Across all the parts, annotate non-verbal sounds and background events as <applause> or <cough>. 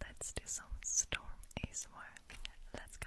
Let's do some storm ASMR. Let's go.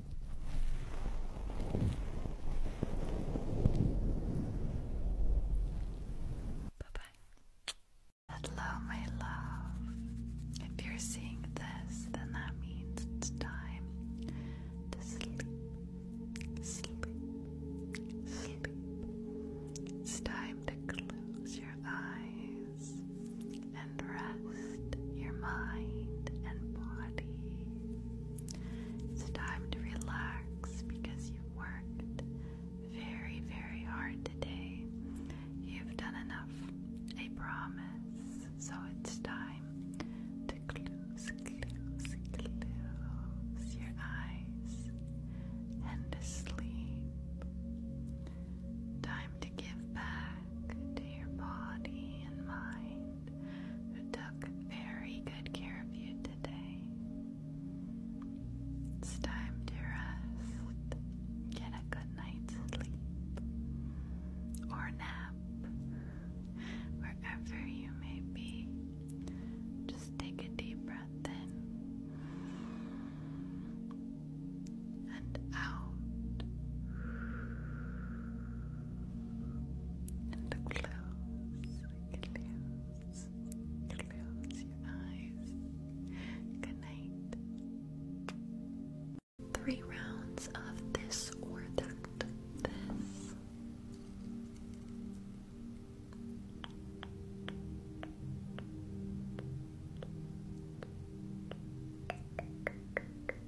Bye bye. Hello, my love. If you're seeing this, then that means it's time to sleep. Sleep. Sleep. It's time to close your eyes and rest your mind and body. It's time to relax because you've worked very, very hard today. You've done enough, I promise. So it's time to close, close, close your eyes and to sleep. Time to give back to your body and mind who took very good care of you today. It's time to rest. Get a good night's sleep or nap wherever you may be. Just take a deep breath in and out. And close, close, close your eyes. Good night. Three rounds of this or that. This. <laughs>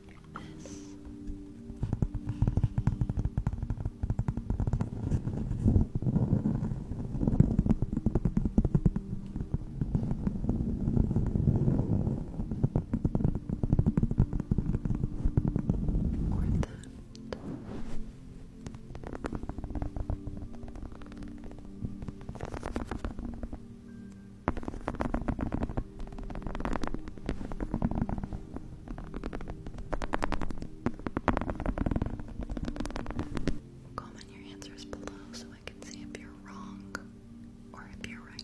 this. Or Comment your answers below so I can see if you're wrong or if you're right.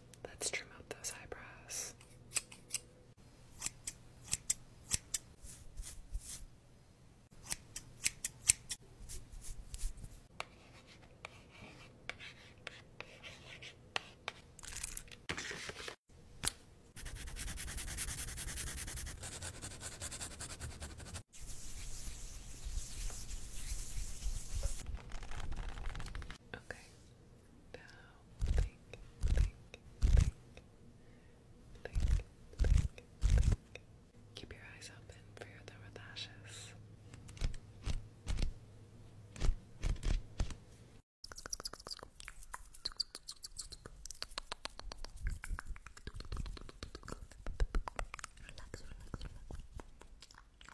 Let's trim out those eyebrows. Okay. Now think, think, think, think, think, think. Keep your eyes open for your lower lashes. Relax, relax, relax.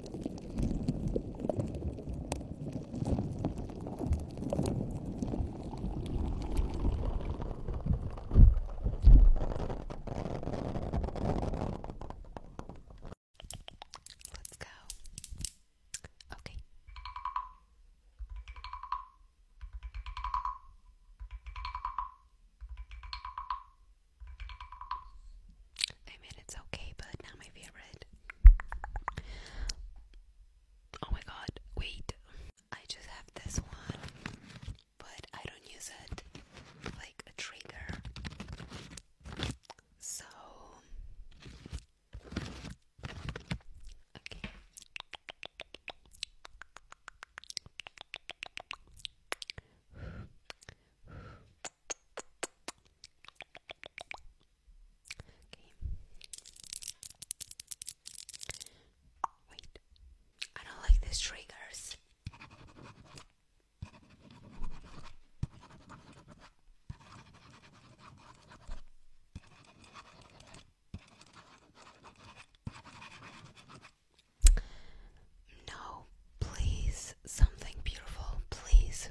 Let's go. Okay. I mean, it's okay, but not my favorite. Oh my god, wait. I just have this one, but I don't use it like a trigger. So. Okay. Okay. Wait. I don't like these triggers. No, please, something beautiful, please.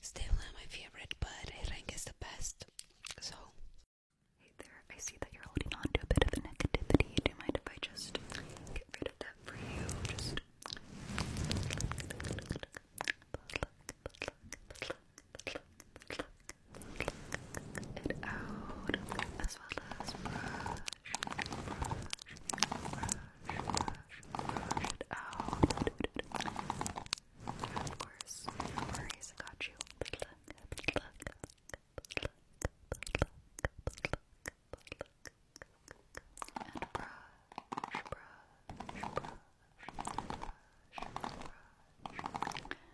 Still not my favorite, but I think it's the best. So, hey there, I see that you're holding on to a bit of the negativity. Do you mind if I just get rid of that for you? it out, as well as brush, brush, brush, brush, brush it out. Of course, no worries, I got you. But look, but look, but look, but look, but look, but look. And brush, brush, brush, brush, brush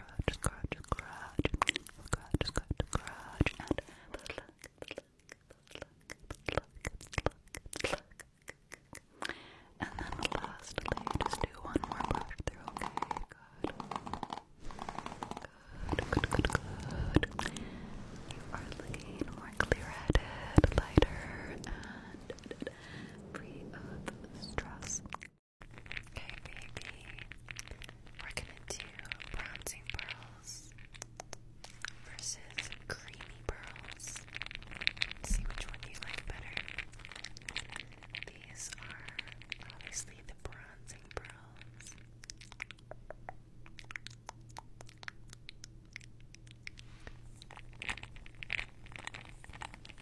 scratch, scratch, scratch, scratch, scratch, scratch, and And then lastly, just do one more brush through, okay? Good, good, good, good. You are looking more clear-headed, lighter, and free of stress. Okay, baby. We're gonna do bronzing pearls versus creamy pearls. See which one you like better. These are obviously the bronzing pearls. And these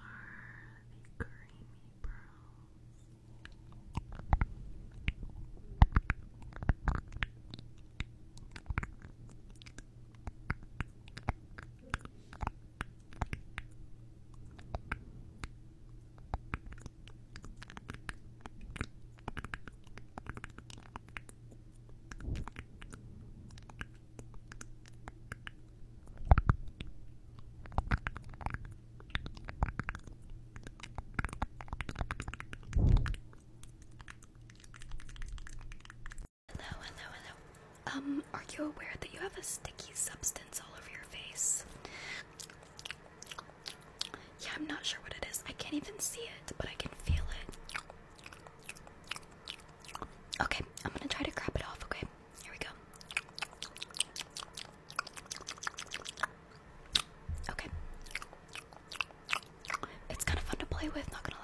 are the creamy pearls. Hello, hello, hello. Um, are you aware that you have a sticky substance all over your face? Yeah, I'm not sure what it is. I can't even see it, but I can feel it. Okay, I'm gonna try to grab it off, okay? Here we go. Okay. It's kind of fun to play with, not gonna lie.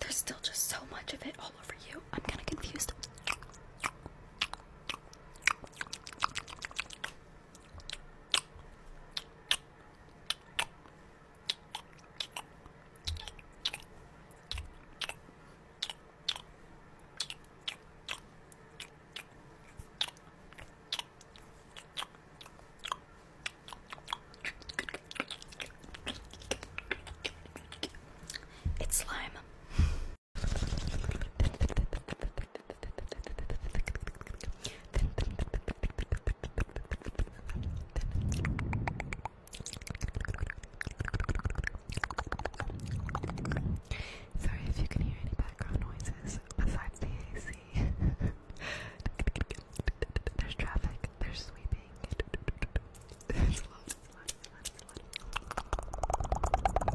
There's still just so much of it all over you. I'm kind of confused. It's slime. Sorry if you can hear any background noises besides the AC. there's traffic, there's sweeping. There's a lot, it's a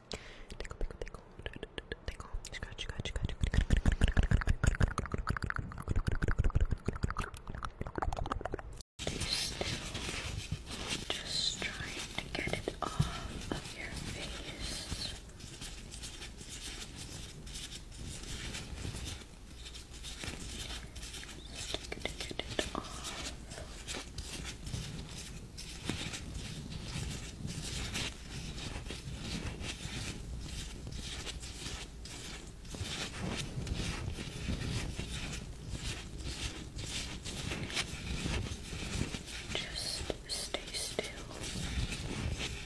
Tickle, tickle, tickle. Tickle. Scratch, scratch, scratch. Still just trying to get it off of your face. Just trying to get it off. Just stay still. Just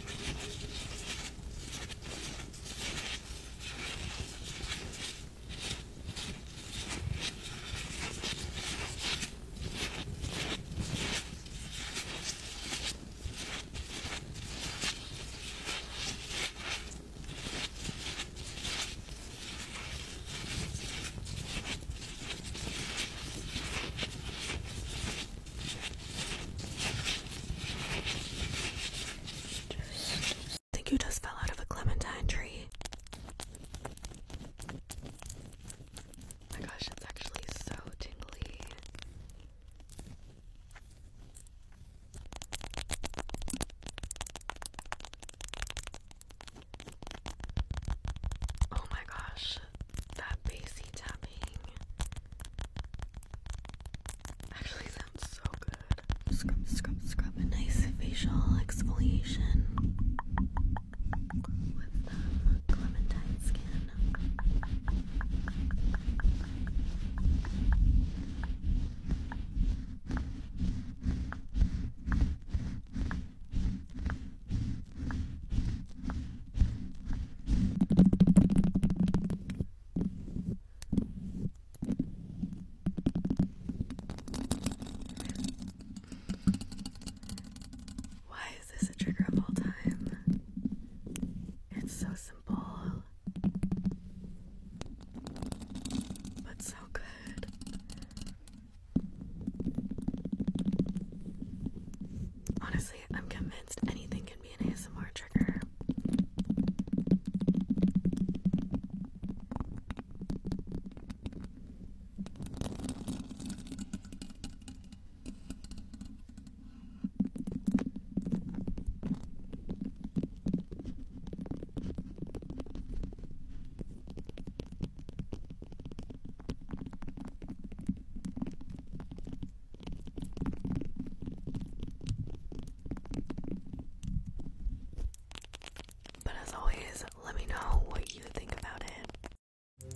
I think you just fell out of a clementine tree my gosh, it's actually so tingly. Oh my gosh, that bassy tapping actually sounds so good. Scrub, scrub, scrub. nice facial exfoliation with um, clementine skin. Why is this a trigger of all time? It's so simple, but so good. Honestly, I'm convinced anything can be an ASMR trigger. But as always, let me know what you think about it. So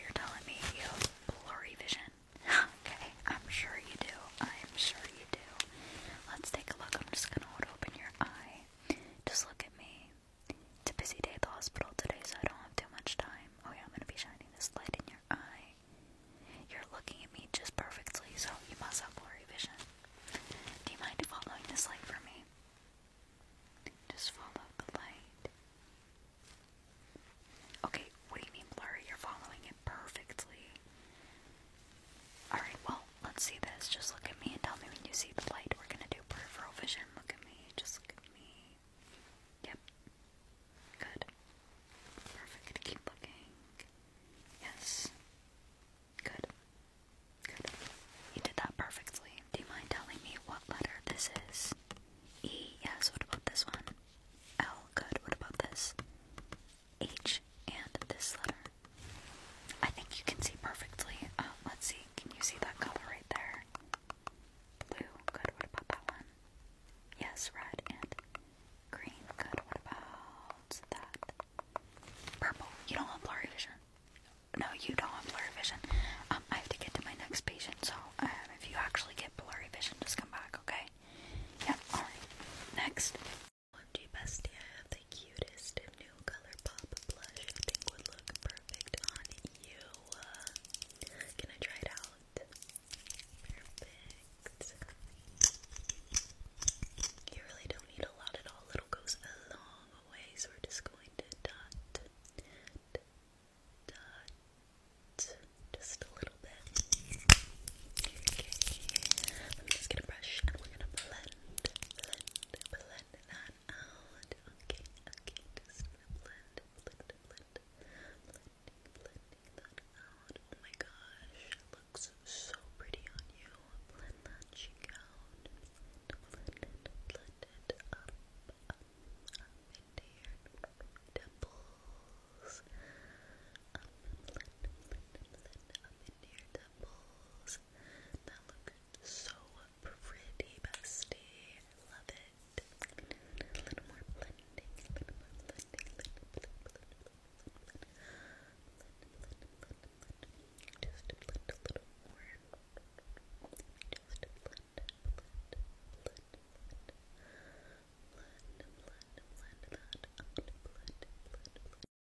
you're telling me you have blurry vision? <gasps> okay, I'm sure you do. I'm sure you do. Let's take a look. I'm just gonna open your eye. Just look at me. It's a busy day at the hospital today, so I don't have too much time. Oh, yeah, I'm gonna be shining this light in your eye. You're looking at me just perfectly, so you must have blurry vision. Do you mind following this light for me? Just follow the light. Okay, what do you mean blurry? You're following it perfectly. Alright, well, let's see this. Just look at me and tell me when you see the light. We're gonna do peripheral vision. Look at me. Just look at me. Yep. Good. Perfect. Keep looking. Yes. Good. Good. You did that perfectly. Do you mind telling me what letter this is? E. Yes. What about this one? L. Good. What about this? H. And this letter. I think you can see perfectly. Um, let's see, can you see that color right there? Blue, good. What about that one? Yes, red and green, good. What about that? Purple, you don't have blurry vision. No, you don't have blurry vision. Um, I have to get to my next patient, so um, if you actually get blurry vision, just come back, okay? Yep, alright. Next. OMG bestie, I have the cutest new ColourPop blush I think would look perfect on you. can I try it out? Perfect. You really don't need a lot at all. It'll a long way, so we're just going to dot, dot, just a little bit. Okay. I'm just gonna brush and we're gonna blend, blend, blend that out. Okay, okay, just blend, blend, blend, blending, blending that out. Oh my gosh, looks so pretty on you. Blend that cheek out. Blend blend up, up, up into your temples. blend, blend, up into your temples. That looks so pretty, bestie. I love it. A little more blending, a little more blending, a little blend, blend, blend, blend, blend, blend, blend. Just blend a little more. Just blend, blend, blend, blend. Blend, blend, blend that. I'm gonna blend, blend, blend.